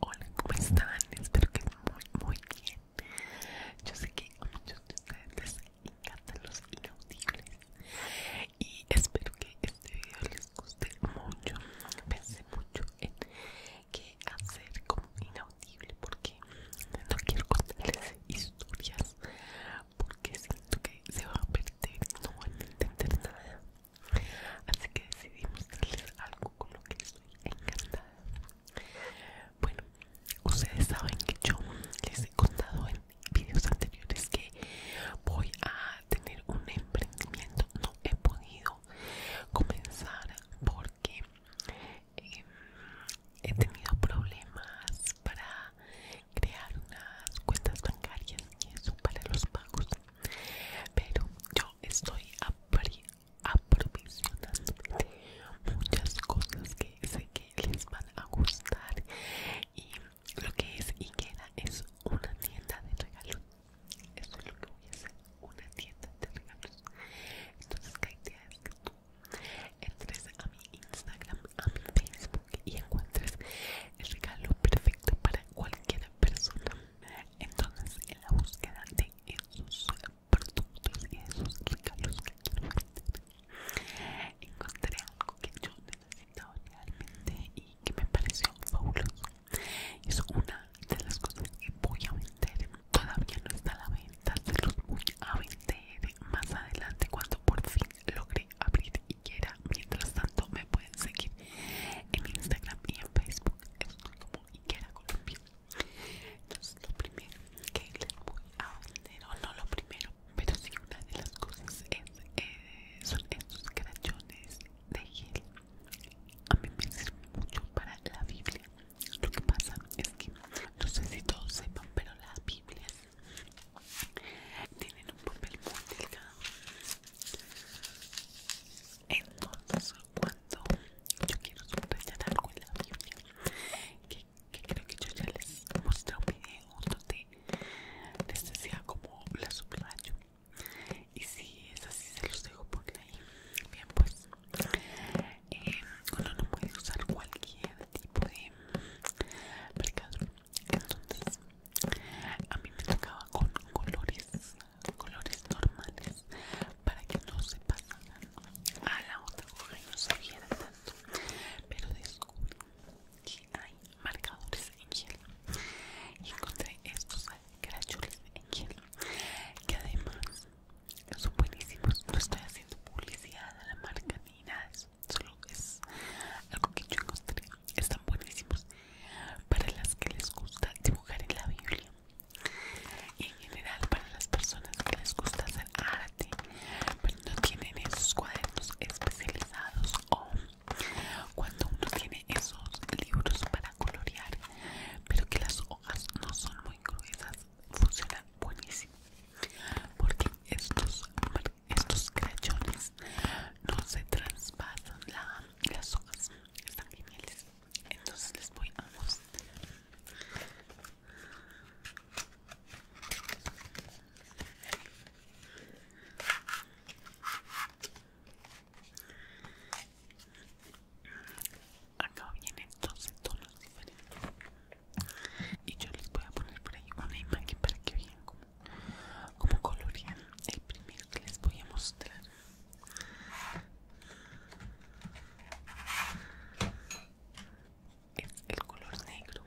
Hola, ¿cómo están? Espero que muy, muy bien. Yo sé que a muchos de ustedes les encantan los inaudibles y espero que este video les guste mucho. Pensé mucho en que hacer como inaudible porque no quiero contarles historias porque siento que se va a perder no van a entender nada así que decidimos leer algo con lo que estoy encantada bueno ustedes saben que yo les he contado en vídeos anteriores que voy a tener un emprendimiento no he podido comenzar porque eh, he tenido problemas para crear unas cuentas bancarias y eso para los pagos pero yo estoy aprovisionando muchas cosas que sé que les van a gustar y lo que es queda es una tienda de regalos eso es lo que voy a hacer una tienda de regalos. Entonces, la idea es que tú entres a mi Instagram, a mi Facebook y encuentres el regalo perfecto para cualquier persona. Entonces, en la búsqueda de esos productos y esos regalos que quiero vender, encontré algo que yo necesitaba realmente y que me pareció fabuloso. Es una de las cosas que voy a vender todavía no está a la venta se los voy a vender más adelante cuando por fin logré abrir y mientras tanto me pueden seguir en Instagram y en Facebook es como Iquera Colombia entonces lo primero que les voy a vender o no lo primero pero sí una de las cosas es, eh, son esos crachones de gel a mí me sirve mucho para la Biblia. Lo que pasa es que no sé si todos sepan, pero las Biblias tienen un papel muy delicado Entonces, cuando yo quiero subrayar algo en la Biblia, que, creo que yo ya les mostré un video donde les decía como la subrayo y si es así se los dejo por ahí bien pues eh, uno no puede usar cualquier tipo de marcador entonces a mí me tocaba con colores colores normales para que no se pasaran a la otra hoja y no se viera tanto pero descubrí que hay marcadores en hielo y encontré estos cracholes en hielo que además son buenísimos no estoy haciendo publicidad a la marca ni nada solo es algo que yo encontré están buenísimos para las que les gusta dibujar en la biblia y en general para las personas que les gusta hacer arte pero no tienen esos cuadernos especializados o cuando uno tiene esos libros para colorear pero que las hojas no son muy gruesas funcionan buenísimo porque estos estos crayones no se traspasan las hojas están geniales entonces les voy a mostrar Acá vienen 12 tonos diferentes. Y yo les voy a poner por ahí una imagen para que vean cómo, cómo colorean. El primero que les voy a mostrar. Es el color negro.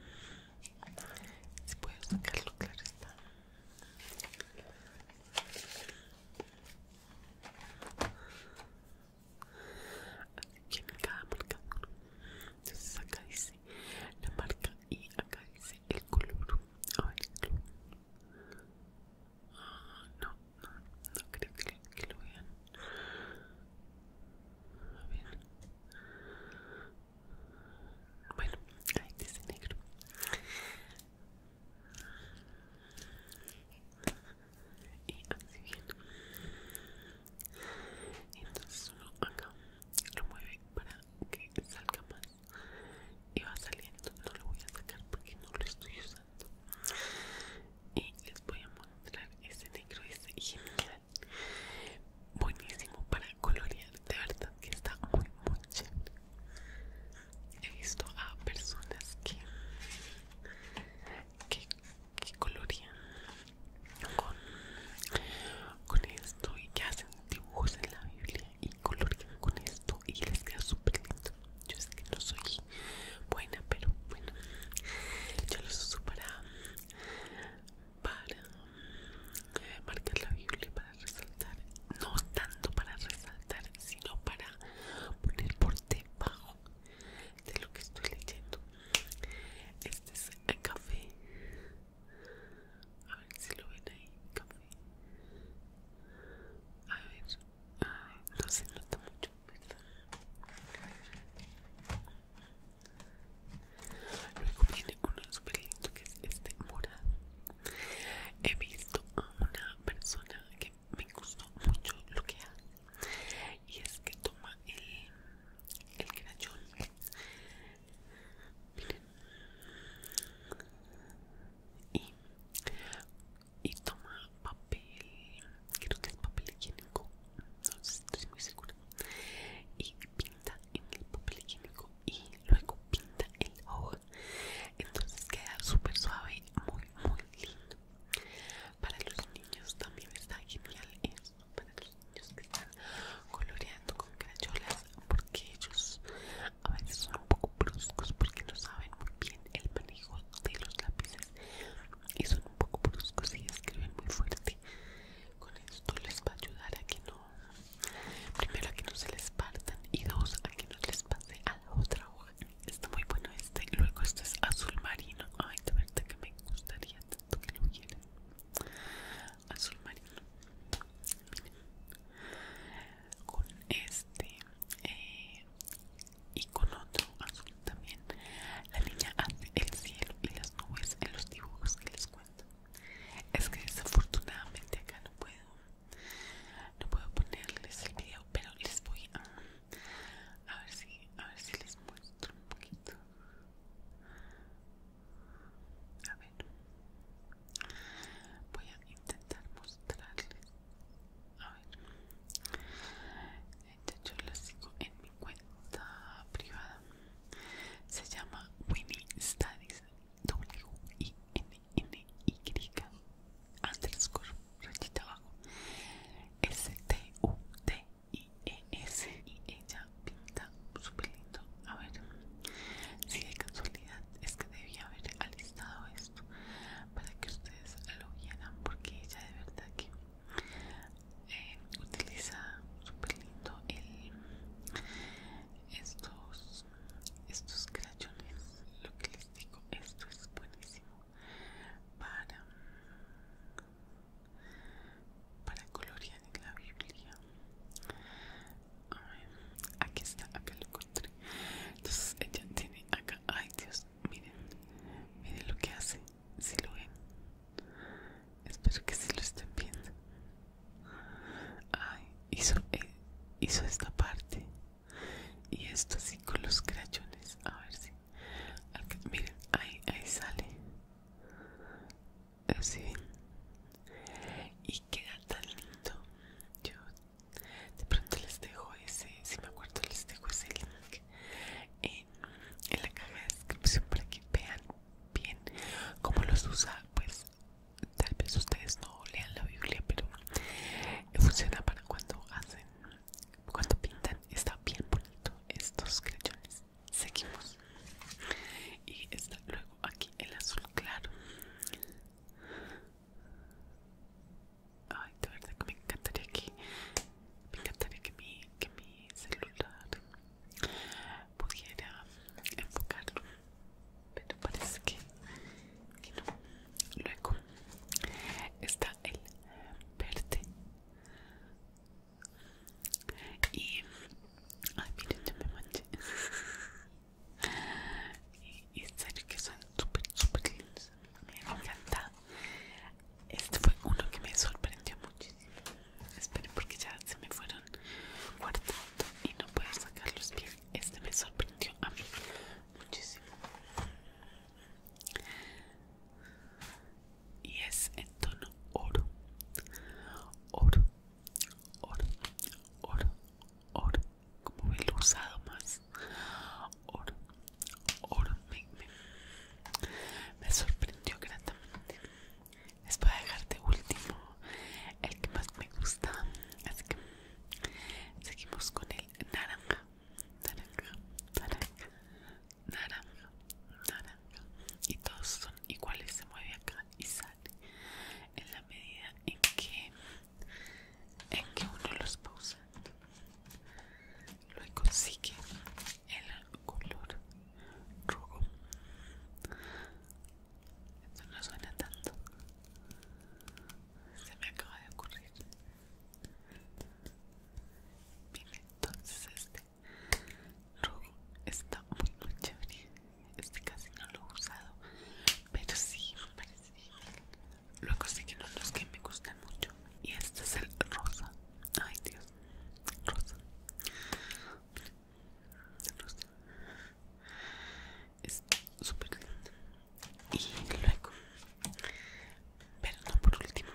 Si puedo sacarlo, claro está aquí cada marca entonces acá dice la marca y acá dice el color el... Ah, no, no, no creo que, lo vean a ver bueno, ahí dice negro y así bien entonces solo acá lo mueve para que salga más y va saliendo no lo voy a sacar porque no lo estoy usando y les voy a mostrar este negro es genial buenísimo para colorear de verdad que está muy muy chévere he visto a personas que que, colorean con, esto y que hacen dibujos en la Biblia y colorean con esto y les queda súper lindo. Yo sé que no soy buena, pero bueno, yo los uso para, para marcar la Biblia, para resaltar, no tanto para resaltar, sino para poner por debajo de lo que estoy leyendo. Este es el café. A ver si lo ven ahí. Café. A ver. no se nota mucho, ¿verdad? Luego viene uno super lindo que es este morado. He visto a una persona que me gustó mucho lo que hace y es que toma el, el y, y toma papel creo que es papel higiénico no estoy muy segura y pinta en el papel higiénico y luego pinta el ojo entonces queda súper suave muy lindo para los niños también está genial esto para los niños que están coloreando con crayolas porque ellos a veces son un poco bruscos porque no saben muy bien el manejo de los lápices y son un poco bruscos y escriben muy fuerte con esto les va a ayudar a que no primero a que no se les partan y dos a que no les pase otra hoja. Está muy bueno este. Luego este es azul marino. Ay, de verdad que me gustaría tanto que lo hubiera Azul marino. Con este eh, y con otro azul también. La niña hace el cielo y las nubes en los dibujos que les cuento. Es que desafortunadamente acá no puedo no puedo ponerles el video pero les voy a a ver si a ver si les muestro un poquito a ver voy a intentar mostrarles a ver yo lo sigo en mi cuenta privada se llama Winnie Studies W I N N Y underscore abajo S T U T I E S y ella pinta súper lindo. A ver si hay casualidad es que debía haber alistado esto para que ustedes lo vieran porque ella de verdad que eh, utiliza súper lindo estos estos crayones lo que les digo esto es buenísimo para para colorear en la biblia aquí está aquí lo encontré entonces ella tiene acá ay dios miren miren lo que hace si lo ven espero que se lo estén viendo ay hizo eh, hizo esta parte y esto así con los crachones, a ver si miren ahí ahí sale así y queda tan lindo yo de pronto les dejo ese si me acuerdo les dejo ese link en, la caja de descripción para que vean bien cómo los usa pues tal vez ustedes no lean la Biblia, pero funciona para cuando hacen, cuando pintan, está bien bonito estos crechones Seguimos. Y está luego aquí el azul claro. Ay, de verdad que me encantaría que me encantaría que mi, que mi celular pudiera enfocarlo pero parece que, no. Luego está el verde. Y. Ay, miren, yo me manché. y, sé que son súper, súper lindos. Me encanta. Este fue uno que me sorprendió muchísimo. Esperen, porque ya se me fueron guardando y no puedo sacar los pies este me sorprendió a mí muchísimo y es en tono oro oro oro oro oro como el usado más oro oro me, me sorprendió gratamente les voy a dejar de último el que más me gusta que Seguimos con el naranja, naranja, naranja, naranja, naranja. Y todos son iguales, se mueve acá y sale. En la medida en que, en que uno los pausa, luego sigue el color rojo. Esto no suena tanto. Se me acaba de ocurrir. mire entonces este rojo está muy muy chévere. Este casi no lo he usado. Pero sí, me parece bien. Luego siguen otros que me gustan mucho. Y este es el rosa. Ay Dios. Rosa. Rosa es súper lindo y luego pero no por último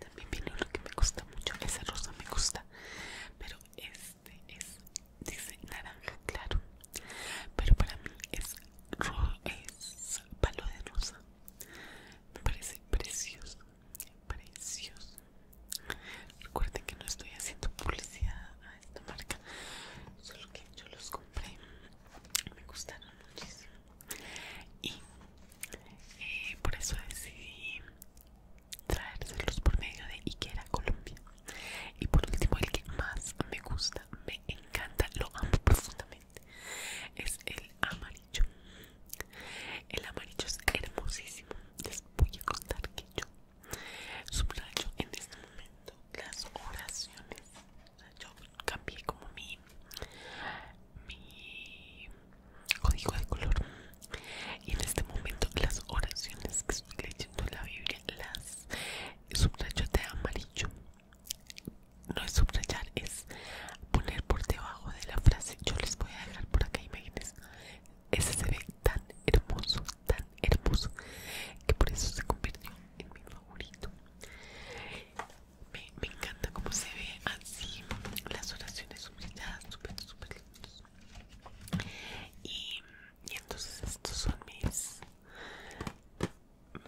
también viene uno que me gusta mucho ese rosa me gusta pero este es dice naranja claro pero para mí es es palo de rosa me parece precioso precioso recuerden que no estoy haciendo publicidad de esta marca solo que yo los compré me gustaron muchísimo y eh, por eso decidí traérselos por medio de Iquera Colombia y por último el que más me gusta me encanta lo amo profundamente es el amarillo el amarillo es hermosísimo les voy a contar que yo Subrayo en este momento las oraciones. yo cambié como mi, mi código de color. Y en este momento las oraciones que estoy leyendo en la Biblia las subrayo de amarillo. No es subrayar, es poner por debajo de la frase. Yo les voy a dejar por acá, imagínense. Ese se ve tan hermoso, tan hermoso que por eso se convirtió en mi favorito. Me, encanta como se ve así, las oraciones humilladas, súper, súper lindos. Y, entonces estos son mis,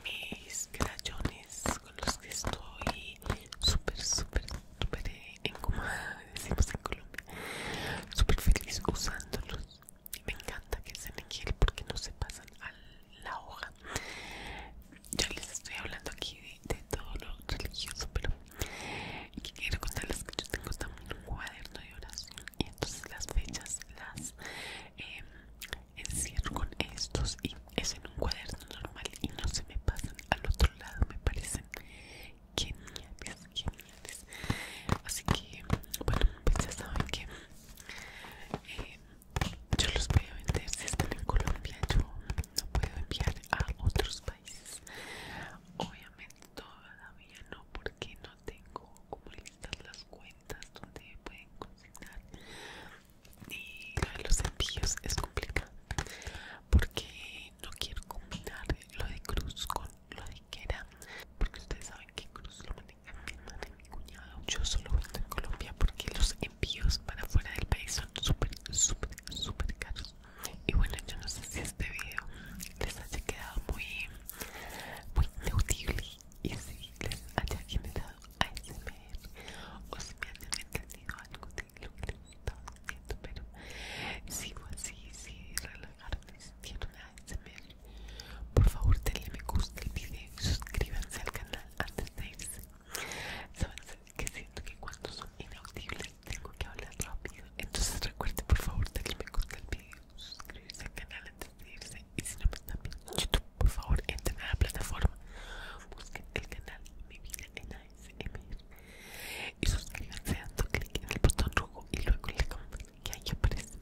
mis crayones con los que estoy súper, súper, súper, eh, en decimos en Colombia, súper feliz usándolos me encanta que se me gel porque no se pasan a la hoja Yo les estoy hablando aquí de, todo lo religioso pero quiero contarles que yo tengo en un cuaderno de oración y entonces las fechas las em, encierro con estos y es en un cuaderno normal y no se me pasan al otro lado me parecen que así que bueno pues ya saben que eh, yo los voy a vender si están en Colombia yo no puedo enviar a otros países obviamente todavía no porque no tengo como listas las cuentas donde pueden consignar y lo de los envíos es complicado porque no quiero combinar lo de cruz con lo era porque ustedes saben que Cruz lo maneja mi hermana mi cuñado yo solo vendo a Colombia porque los envíos para fuera del país son súper súper súper caros y bueno yo no sé si este video les haya quedado muy muy neutible y si les haya generado ASMR o si me han entendido algo de lo que les estaba diciendo pero si fue así si relajaron y sintieron ASMR por favor denle me gusta el video y suscríbanse al canal antes de irse. Saben que siento que cuando son inaudibles tengo que hablar rápido. Entonces recuerden por favor denle me gusta al video, Suscríbanse al canal antes de irse. Y si no me están pues, en YouTube, por favor entren a la plataforma. Busquen el canal Mi Vida en ASMR y suscríbanse dando clic en el botón rojo y luego en la campanita que ahí aparece.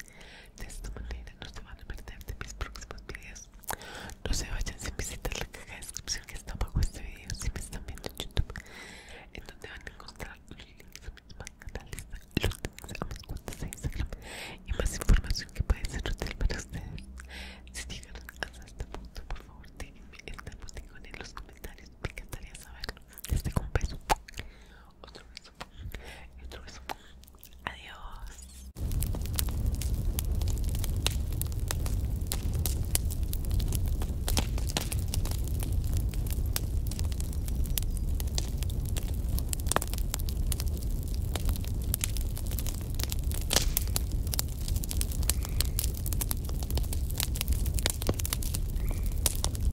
De esta manera no se van a perder de mis próximos videos. No se vayan sin visitar la caja de descripción que está abajo de este video si me están viendo en YouTube, en donde van a encontrar los links a mis más canales, los links a mis cuentas de Instagram y más información que puede ser útil para ustedes. Si llegaron hasta este punto, por favor, déjenme el emoticón en los comentarios, me encantaría saberlo. Les dejo un beso otro beso y otro beso. Adiós.